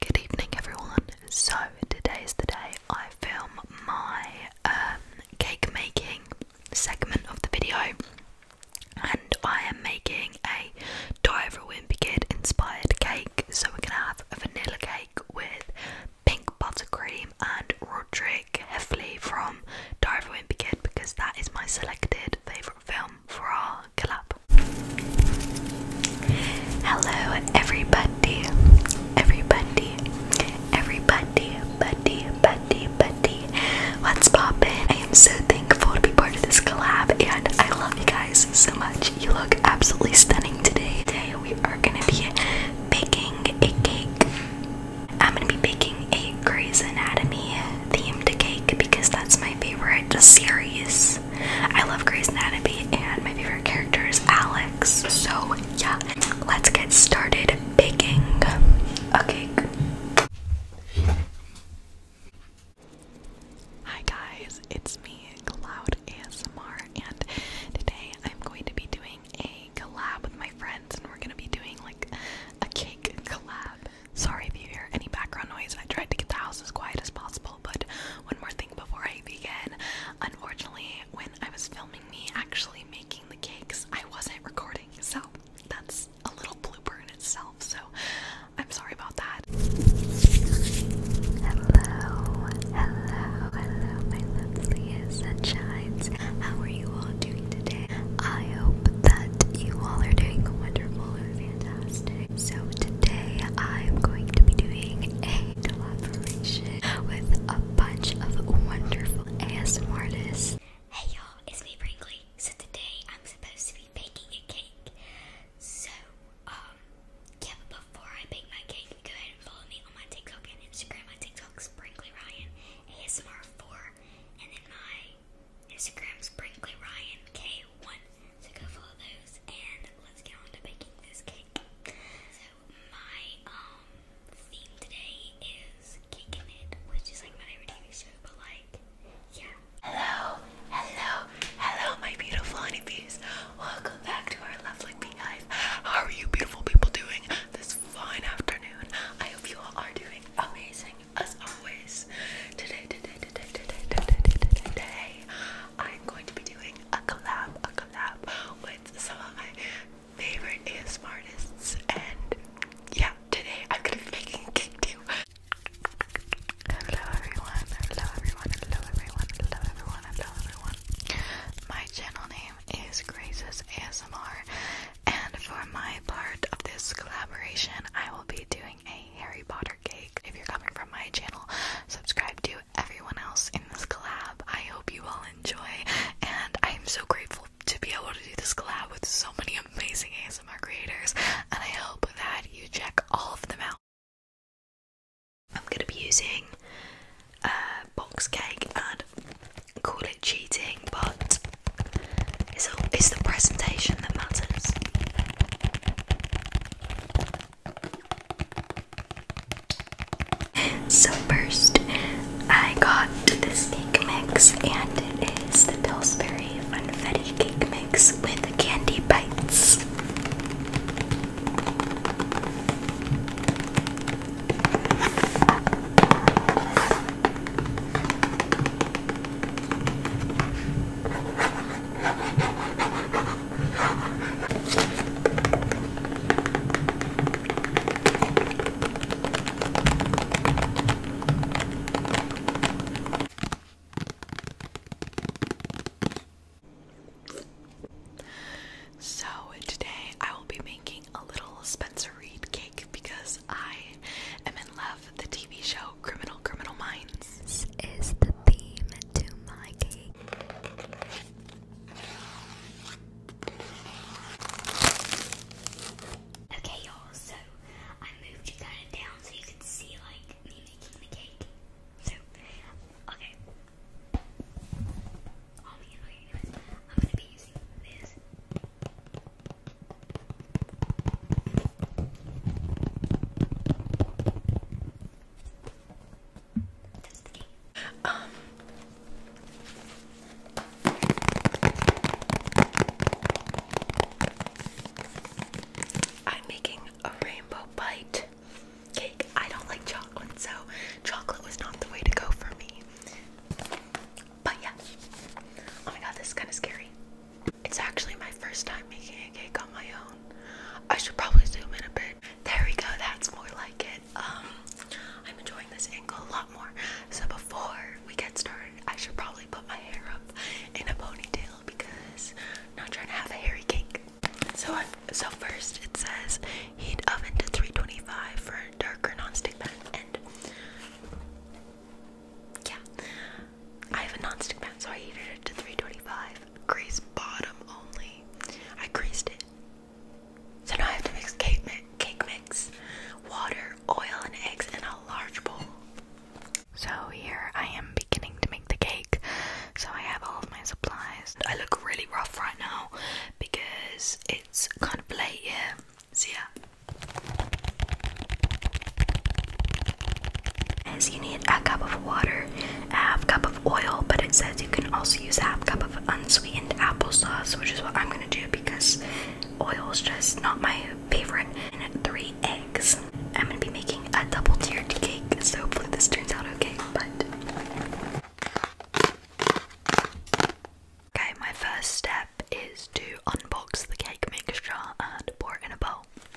Good evening, everyone. So, today is the day I film my um, cake making segment of the video, and I am making a Diver Wimpy Kid inspired cake. So, we're gonna have a vanilla cake with pink buttercream and Roderick Heffley from Diver Wimpy Kid because that is my selected favourite film for our clap. Hello, everybody, everybody, everybody, buddy, buddy, buddy. What's poppin'? I am so thankful to be part of this collab, and I love you guys so much. You look absolutely stunning today. Today we are gonna be baking a cake. I'm gonna be baking a Grey's Anatomy themed cake because that's my favorite series. I love Grace and Abby, and my favorite character is Alex. So, yeah, let's get started baking a cake. Hi, guys, it's me, Cloud ASMR, and today I'm going to be doing a collab with my friends, and we're going to be doing like a cake collab. Sorry if you hear any background noise, I tried to get the house as quiet as possible. But one more thing before I begin. Unfortunately, when I was filming me actually making the cakes, I wasn't recording. So that's a little blooper in itself. So I'm sorry about that. Hello, hello, hello, my lovely sunshines. How are you all doing today? I hope that you all are doing wonderful and fantastic. So today I'm going to be doing a collaboration with a bunch of wonderful ASMR artists. Hey y'all, it's me Sprinkly. So today I'm supposed to be baking a cake. So, um, yeah, but before I bake my cake, go ahead and follow me on my TikTok and Instagram. My TikTok's Brinkley Ryan ASMR4, and then my Instagram's Brinkley Ryan one. So go follow those and let's get on baking this cake. So my um theme today is cake it, which is like my favorite TV show, but like yeah. Hello, hello, hello my beautiful honeybees. Welcome back to our lovely beehive. How are you beautiful people doing this fine afternoon? I hope you all are doing amazing as always. today, today, today, today, today, today, today I'm going to be doing a collab, a collab with some of my favorite ASMR artists, and yeah, today I'm gonna be kick you. Hello everyone, hello everyone, hello everyone, hello everyone, hello everyone. My channel name is Grace's ASMR, and for my part of this collaboration, I will be doing a Harry Potter game if you're coming from my channel, subscribe to everyone else in this collab. I hope you all enjoy, and I am so grateful to be able to do this collab with so many amazing ASMR creators, and I hope that you check all of them out. I'm gonna be using a uh, box cake and call it cheating, but it's, all, it's the presentation that matters. So first, I got the cake mix, and it is the Pillsbury Funfetti Cake Mix with Candy Bites. So, today I will be making a little Spencer Reed cake because I am in love the TV show Criminal Criminal Minds. This is the theme to my cake. Okay, y'all, so I moved it kind of down so you can see, like, me making the cake. So, okay. Um, I'm making a rainbow bite cake. I don't like chocolate, so chocolate was not the way to go for me. But yeah. Oh my god, this is kind of scary. It's actually my first time making a cake on my own. I should probably zoom in a bit. There we go, that's more like it. Um, I'm enjoying this angle a lot more. So before we get started, I should probably put my hair up in a ponytail because I'm not trying to have a hairy cake. So i so first it says heat oven to 325 for a darker nonstick pan and yeah. I have a non-stick pan, so I heated it to 325. Grease bottom only. I greased it. So now I have to mix cake mix, cake mix, water, oil, and eggs in a large bowl. So here I am beginning to make the cake. So I have all of my supplies. I look really rough right now because it's kind of late here. See so ya. Yeah. As you need a cup of water, a half cup of oil, but it says you can also use a half cup of unsweetened applesauce, which is what I'm gonna do because oil is just not my favorite. And three eggs. I'm gonna be making a double tiered cake, so hopefully this turns out okay. But okay, my first step is to unbox the cake mixture and pour it in a bowl.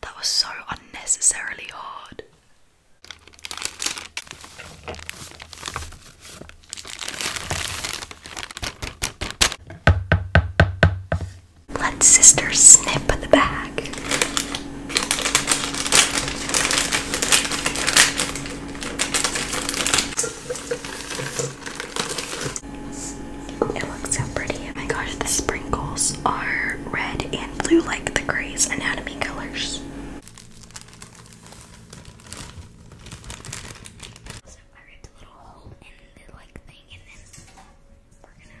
That was so unnecessarily hard. Let sister snip at the back. It looks so pretty. Oh my gosh, the sprinkles are red and blue like the Grey's Anatomy colors. So I ripped a little hole in the like thing and then we're gonna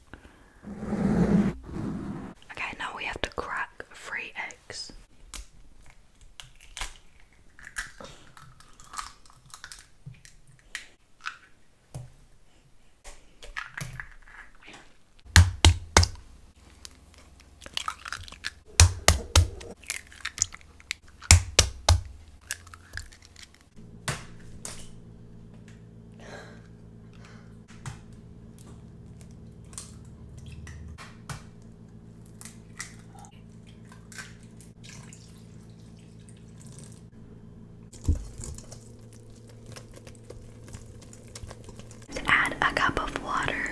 Okay, now we have to crack three eggs. Add a cup of water.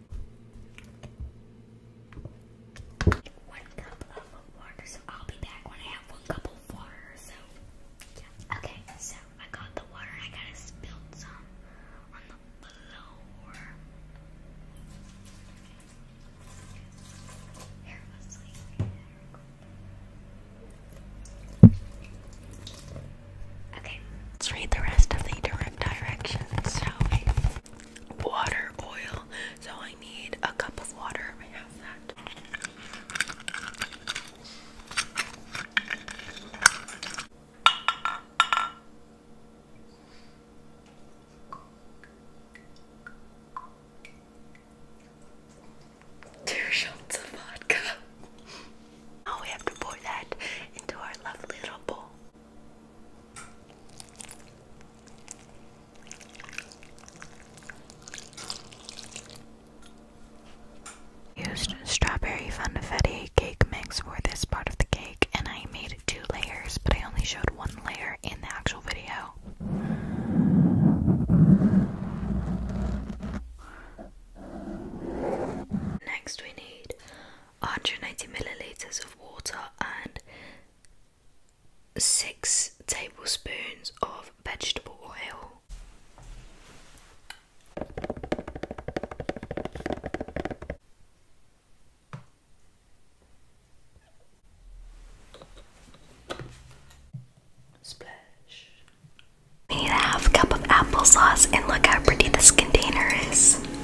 One cup of water, so I'll be back when I have one cup of water, so yeah. Okay, so I got the water, I gotta spill some on the floor. Okay, let's read the rest of the direct directions, water oil. So I need a cup of water. I have that. Two shots of vodka. now we have to pour that into our lovely little Used strawberry funfetti cake mix for this part of the cake, and I made two layers, but I only showed one layer in the actual video. Next, we need 180 milliliters of water, and 6 tablespoons of vegetable oil. Splash. need to have cup of applesauce and look how pretty this container is. So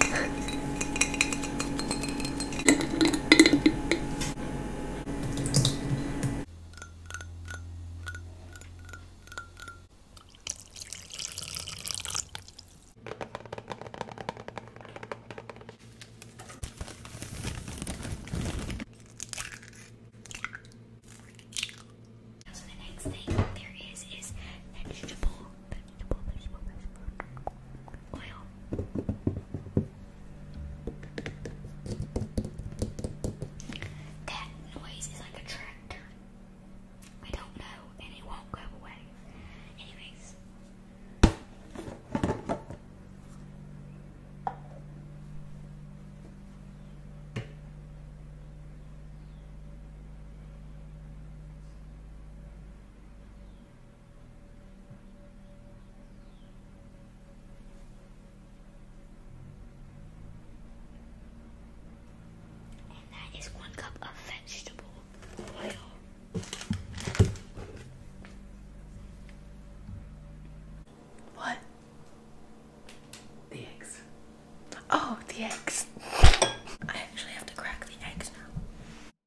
the next thing there is is vegetable that noise is like a tractor. I don't know, and it won't go away. Anyways. And that is one cup of vegetable oil. What? The eggs. Oh, the eggs. I actually have to crack the eggs now.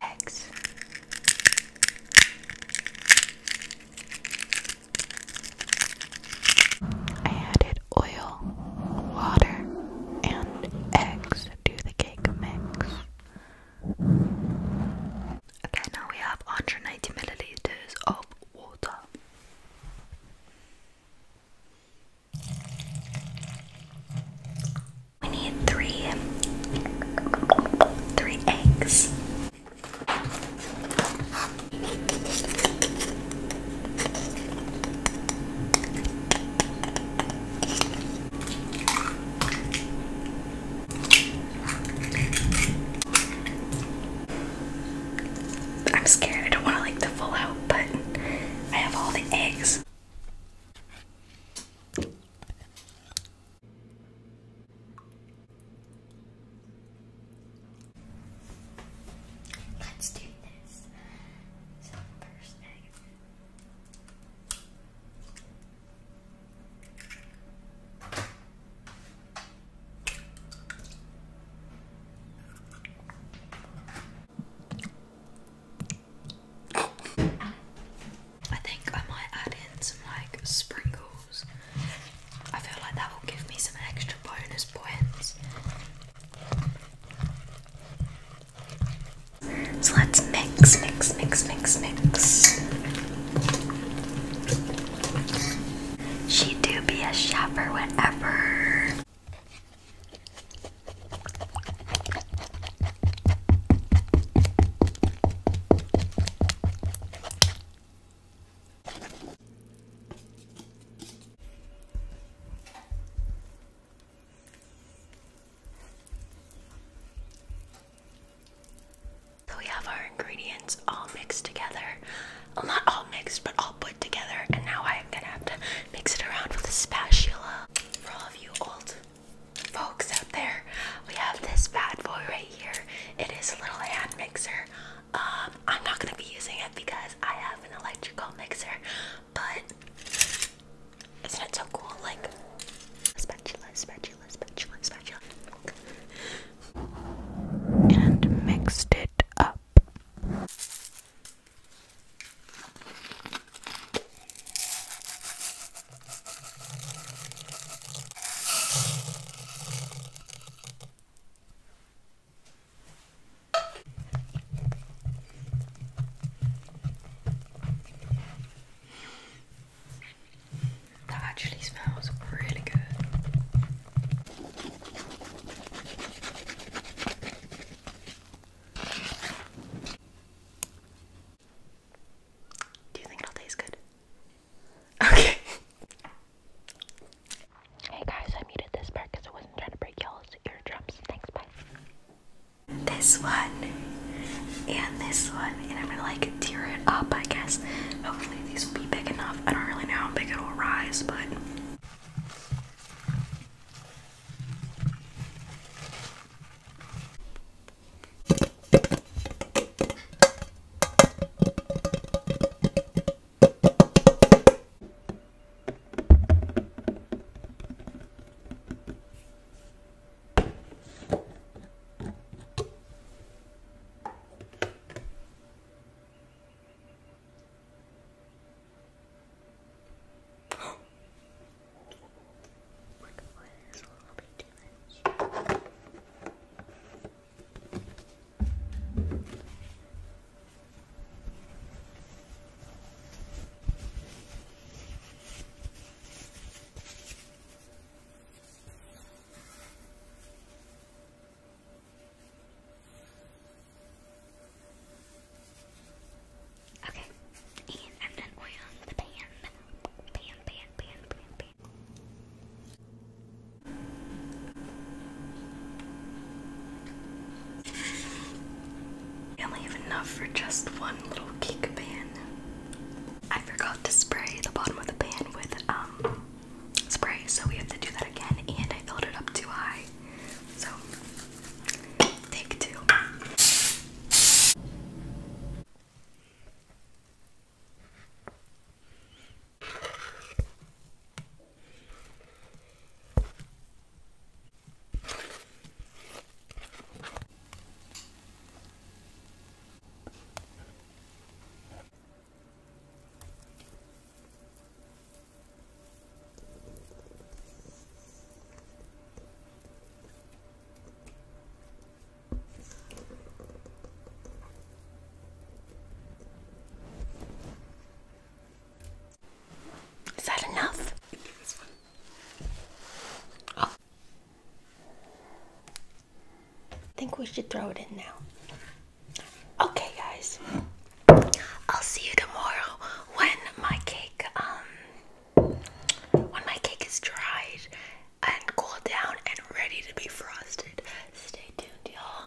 Eggs. I added oil, water, and eggs to the cake mix. Okay, now we have 180 milliliters of water. We need three, three eggs. I'm scared. I don't want to like the full out, but I have all the eggs. Let's do this. So first egg. I think I might add in some like sprinkles. I feel like that will give me some extra bonus points. So let's mix, mix, mix, mix, mix. She do be a shopper whatever. So we have our ingredients all mixed together not all mixed, but all put together. And now I'm gonna have to mix it around with a spatula. For all of you old folks out there, we have this bad boy right here. It is a little hand mixer. Um, I'm not gonna be using it because I have an electrical mixer, but isn't it so cool? Like spatula, spatula, spatula, spatula and mixed it up. That actually smells really good. Do you think it'll taste good? Okay. Hey guys, I muted this part I wasn't trying to break y'all's eardrums. Thanks, bye. This one and this one, and I'm gonna like tear it up, I guess. Hopefully, these will be big enough. I don't really know how big it'll rise, but. Work away is a little bit too much. Okay. Okay, and I'm done oiling the pan. Pan, pan, pan, pan, pan. only have enough for just one little cake pan. I forgot to spray the bottom of the pan with um spray, so we have to do that again. And I filled it up too high, so take two. Is that enough? Oh. I think we should throw it in now. Okay, guys. I'll see you tomorrow when my cake um when my cake is dried and cooled down and ready to be frosted. Stay tuned, y'all.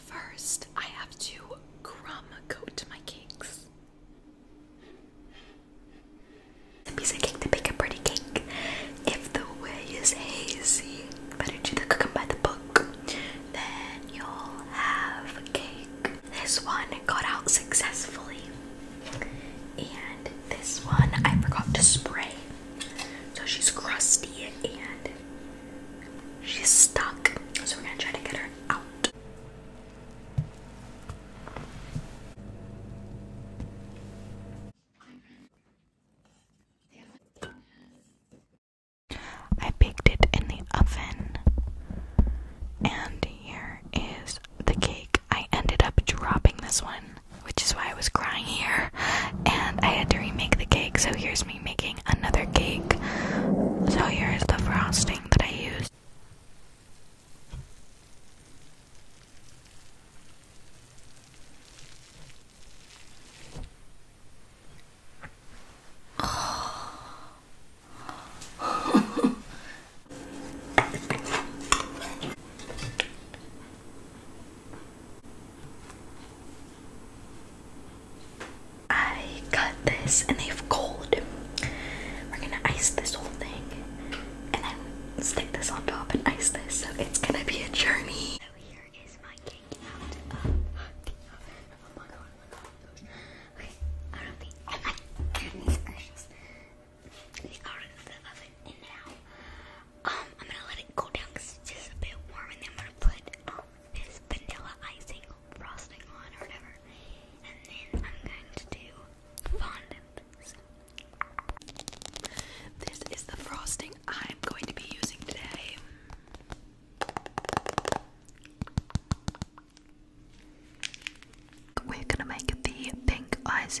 First, I have to crumb coat my cakes. The piece of cake to make a pretty cake. If the way is hazy, better do the cooking by the book. Then you'll have a cake. This one got out successfully. And this one I forgot to spray. So she's crusty and she's stuck. So we're gonna try to get her I baked it in the oven, and here is the cake. I ended up dropping this one, which is why I was crying here, and I had to remake the cake. So here's me making another cake. So here is the frosting that I used. I cut this and they've cold. We're gonna ice this whole thing and then stick this on top and ice this. So it's gonna be a journey. So here is my cake out. Oh, oh, my god, oh my god. Okay, out of the oven. Goodness gracious. It's out of the oven and now um, I'm gonna let it go down it's just a bit warm and then I'm gonna put um, this vanilla icing frosting on or whatever. And then I'm going to do fondant. This is the frosting I'm going to be using today. We're gonna make the pink eyes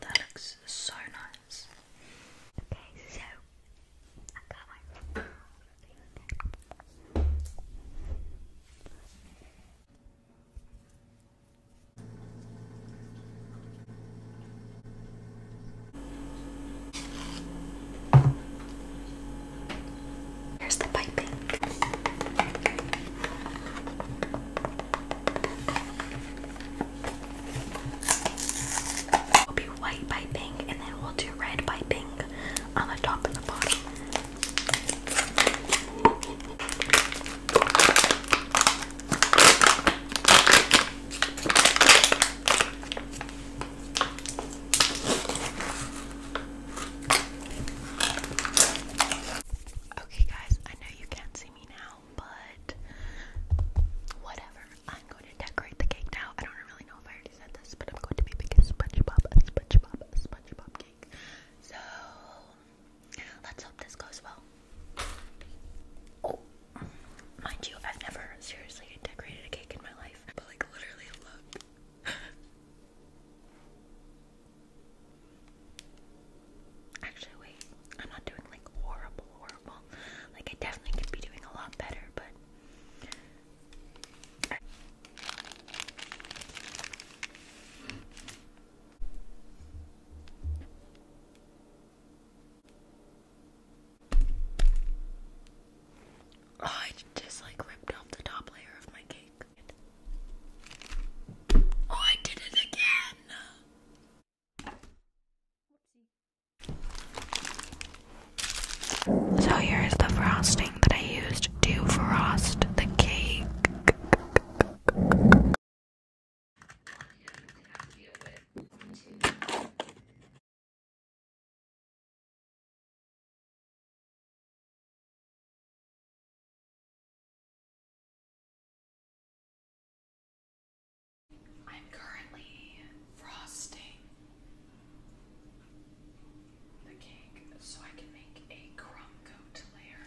That looks so nice. Okay, so I got my Here's the piping. We'll be white piping and then we'll do red piping on the top and the bottom. Okay, guys, I know you can't see me now, but whatever. I'm going to decorate the cake now. I don't really know if I already said this, but I'm going to be making SpongeBob, a SpongeBob, a SpongeBob cake. So let's hope this goes well. Oh, mind you, I've never seriously decorated a cake in my life, but like literally, look. Actually, wait, I'm not doing like horrible, horrible. Like, I definitely could be doing a lot better, but. Oh, I just like ripped off the top layer of my cake. Oh, I did it again! So here is the frosting that I used to frost the cake. I'm currently frosting the cake so I can make a crumb coat layer.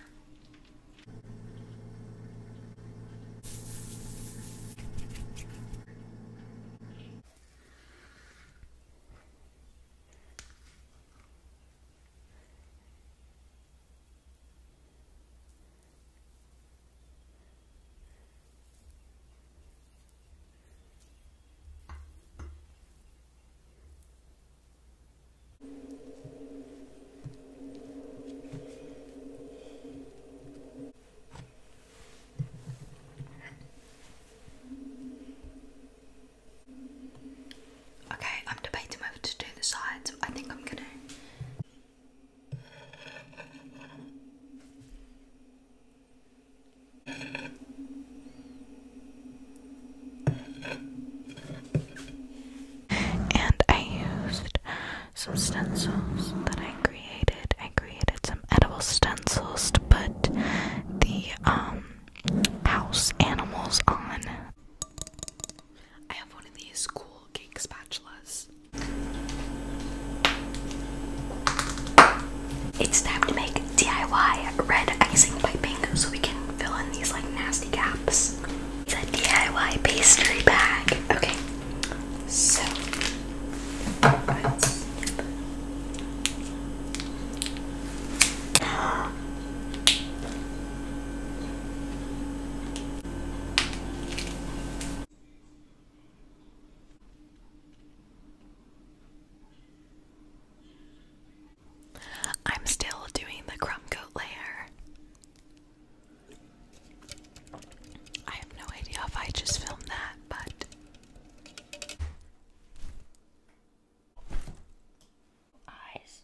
Okay, I'm debating whether to do the sides. I think I'm gonna and I used some stencils that I created. I created some edible stencils to put the um house animals on. I have one of these cool little spatulas. It's time to make DIY red icing piping so we can fill in these like nasty gaps. It's a DIY pastry bag. Okay, so I'm still doing the crumb coat layer. I have no idea if I just filmed that, but eyes.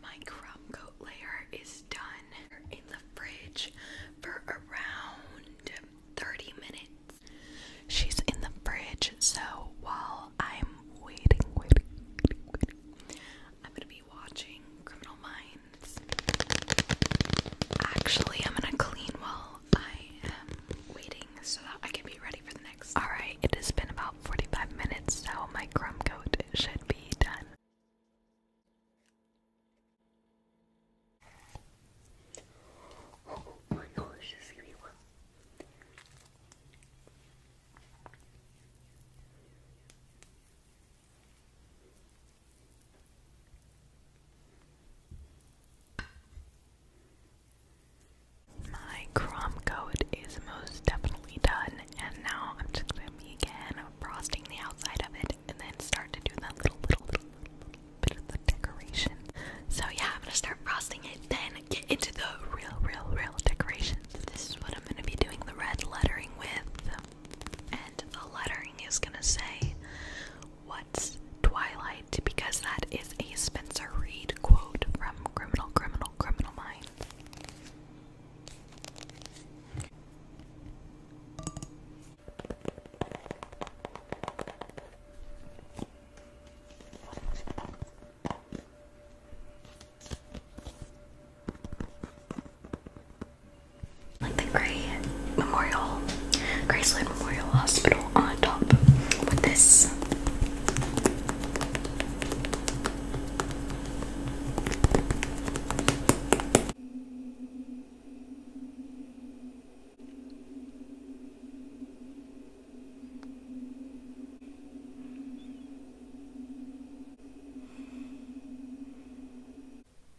My crumb coat layer is done in the fridge for around 30 minutes. She's in the fridge, so while I'm waiting, waiting, waiting, I'm gonna be watching Criminal Minds. Actually, I'm gonna clean while I am waiting so that I can be ready for the next. Alright, it has been about 45 minutes, so my crumb coat should be done. Oh my gosh, this is gonna be one. My crumb coat is most definitely done, and now I'm just gonna be frosting the outside of it and then start to do that little, little, little, little bit So, yeah, I'm gonna start frosting it, then get into the real, real, real decorations. This is what I'm gonna be doing the red lettering with, and the lettering is gonna say what Twilight because that is a Spencer Reed quote from Criminal, Criminal, Criminal Minds like the Gray Memorial, Graceland Memorial Hospital on top with this.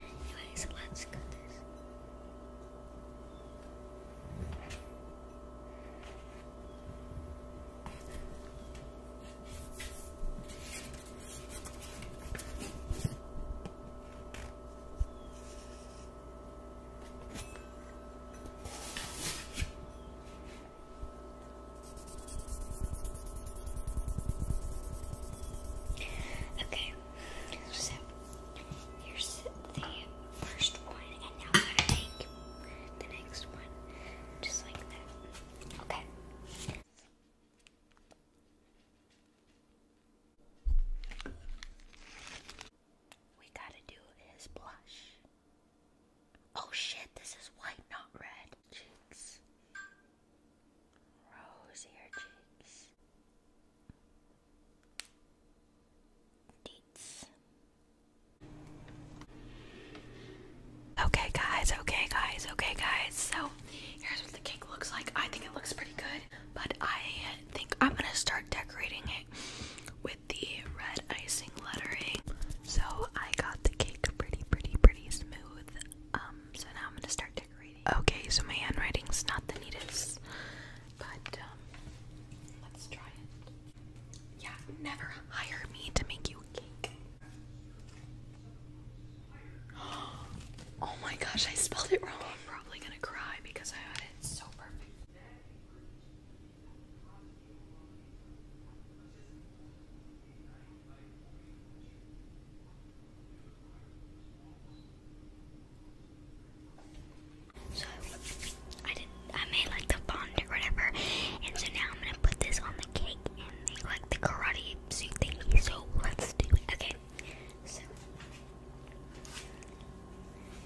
Anyways, let's cut this. Okay, so here's the first one, and now I'm the next one just like that. Okay we gotta do is blush. Oh shit, this is white, not red. Cheeks. Rosier cheeks. Deets. Okay guys, okay guys, okay guys. So here's what the cake looks like. I think it looks pretty good, but I think I'm gonna start decorating it with the red icing lettering. So I got the cake pretty, pretty, pretty smooth. Um, so now I'm gonna start decorating. Okay, so my handwriting's not the neatest, but um, let's try Yeah, never hire me to make you a cake. Oh my gosh, I spelled it wrong. I'm probably gonna cry because I had it so perfect. So I did I made like the bond or whatever and so now I'm gonna put this on the cake and make like the karate suit thingy. So let's do it. Okay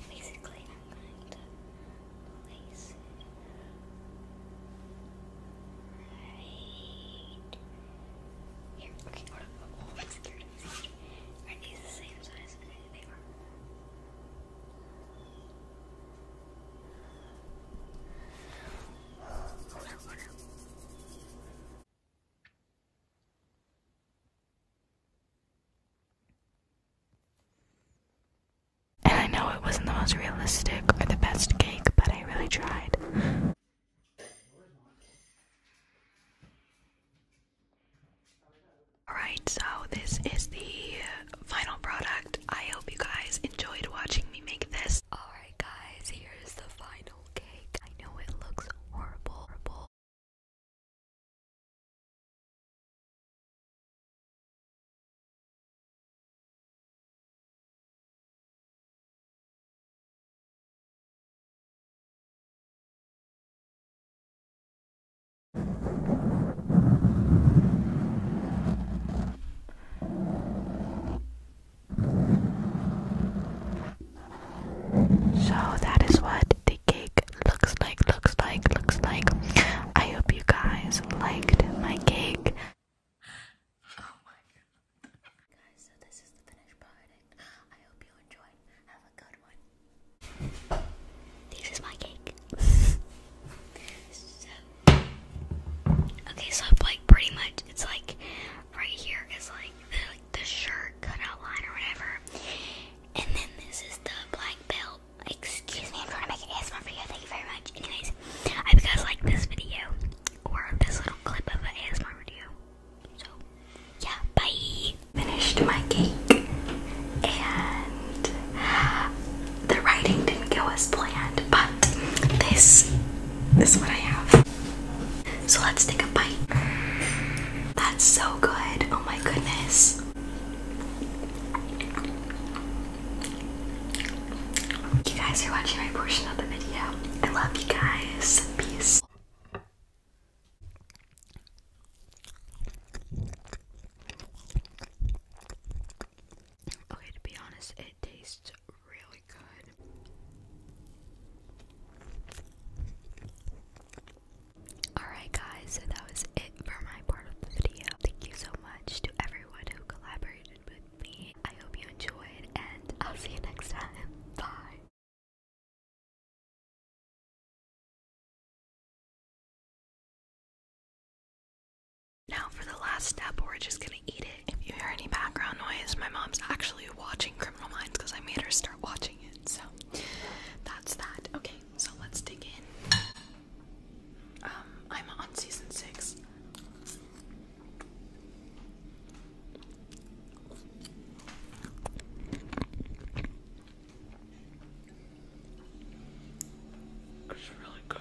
basically I'm going to place it right here. Okay, hold on. Oh, oh, are these the same size? they are. Hold on, hold on. And I know it wasn't the most realistic or the best cake, but I really tried. Alright, so this is the final product. I hope you guys enjoyed watching me make this. Alright, guys, here's the final cake. I know it looks horrible, so that is what the cake looks like, looks like, looks like. I hope you guys liked my cake. Oh my god. Guys, so this is the finished product. I hope you enjoyed. Have a good one. This is my cake. Okay, so like pretty much it's like right here is like the shirt cutout line or whatever. And then this is the black belt. Excuse me, I'm trying to make an ASMR video. Thank you very much. Anyways, I hope you guys like this video or this little clip of an ASMR video. So, yeah, bye. Finished my cake, and the writing didn't go as planned, but this, this is what I have. So let's take a bite. That's so good. Oh my goodness. You guys are watching my portion of the video. I love you guys. Peace. Okay, to be honest, it tastes really good. Alright, guys, so that was it for my part of the video. Thank you so much to everyone who collaborated with me. I hope you enjoyed, and I'll see you next time. Bye. Now, for the last step, we're just gonna eat it. If you hear any background noise, my mom's actually watching Criminal Minds because I made her start watching it, so that's that. Okay, so let's dig in. Um, I'm on season six. It's really good.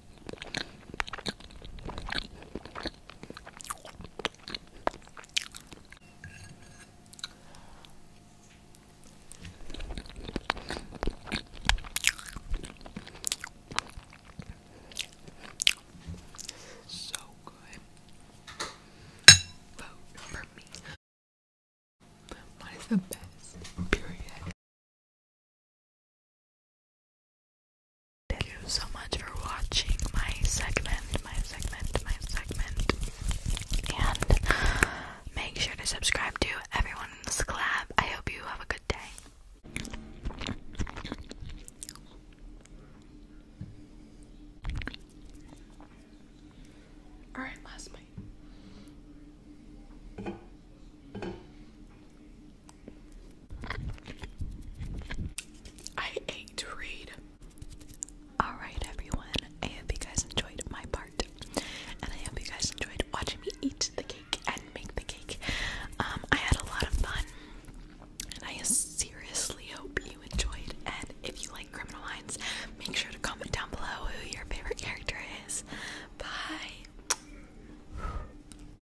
So good. Vote for me. Mine the best. Period. Thank you so much for watching my segment, my segment, my segment. And make sure to subscribe to everyone in this collab. I hope you have a good day. Alright, last bite. I hate to read. Alright, everyone. I hope you guys enjoyed my part. And I hope you guys enjoyed watching me eat the cake and make the cake. Um, I had a lot of fun. And I seriously hope you enjoyed. And if you like Criminal Minds, make sure to comment down below who your favorite character is. Bye.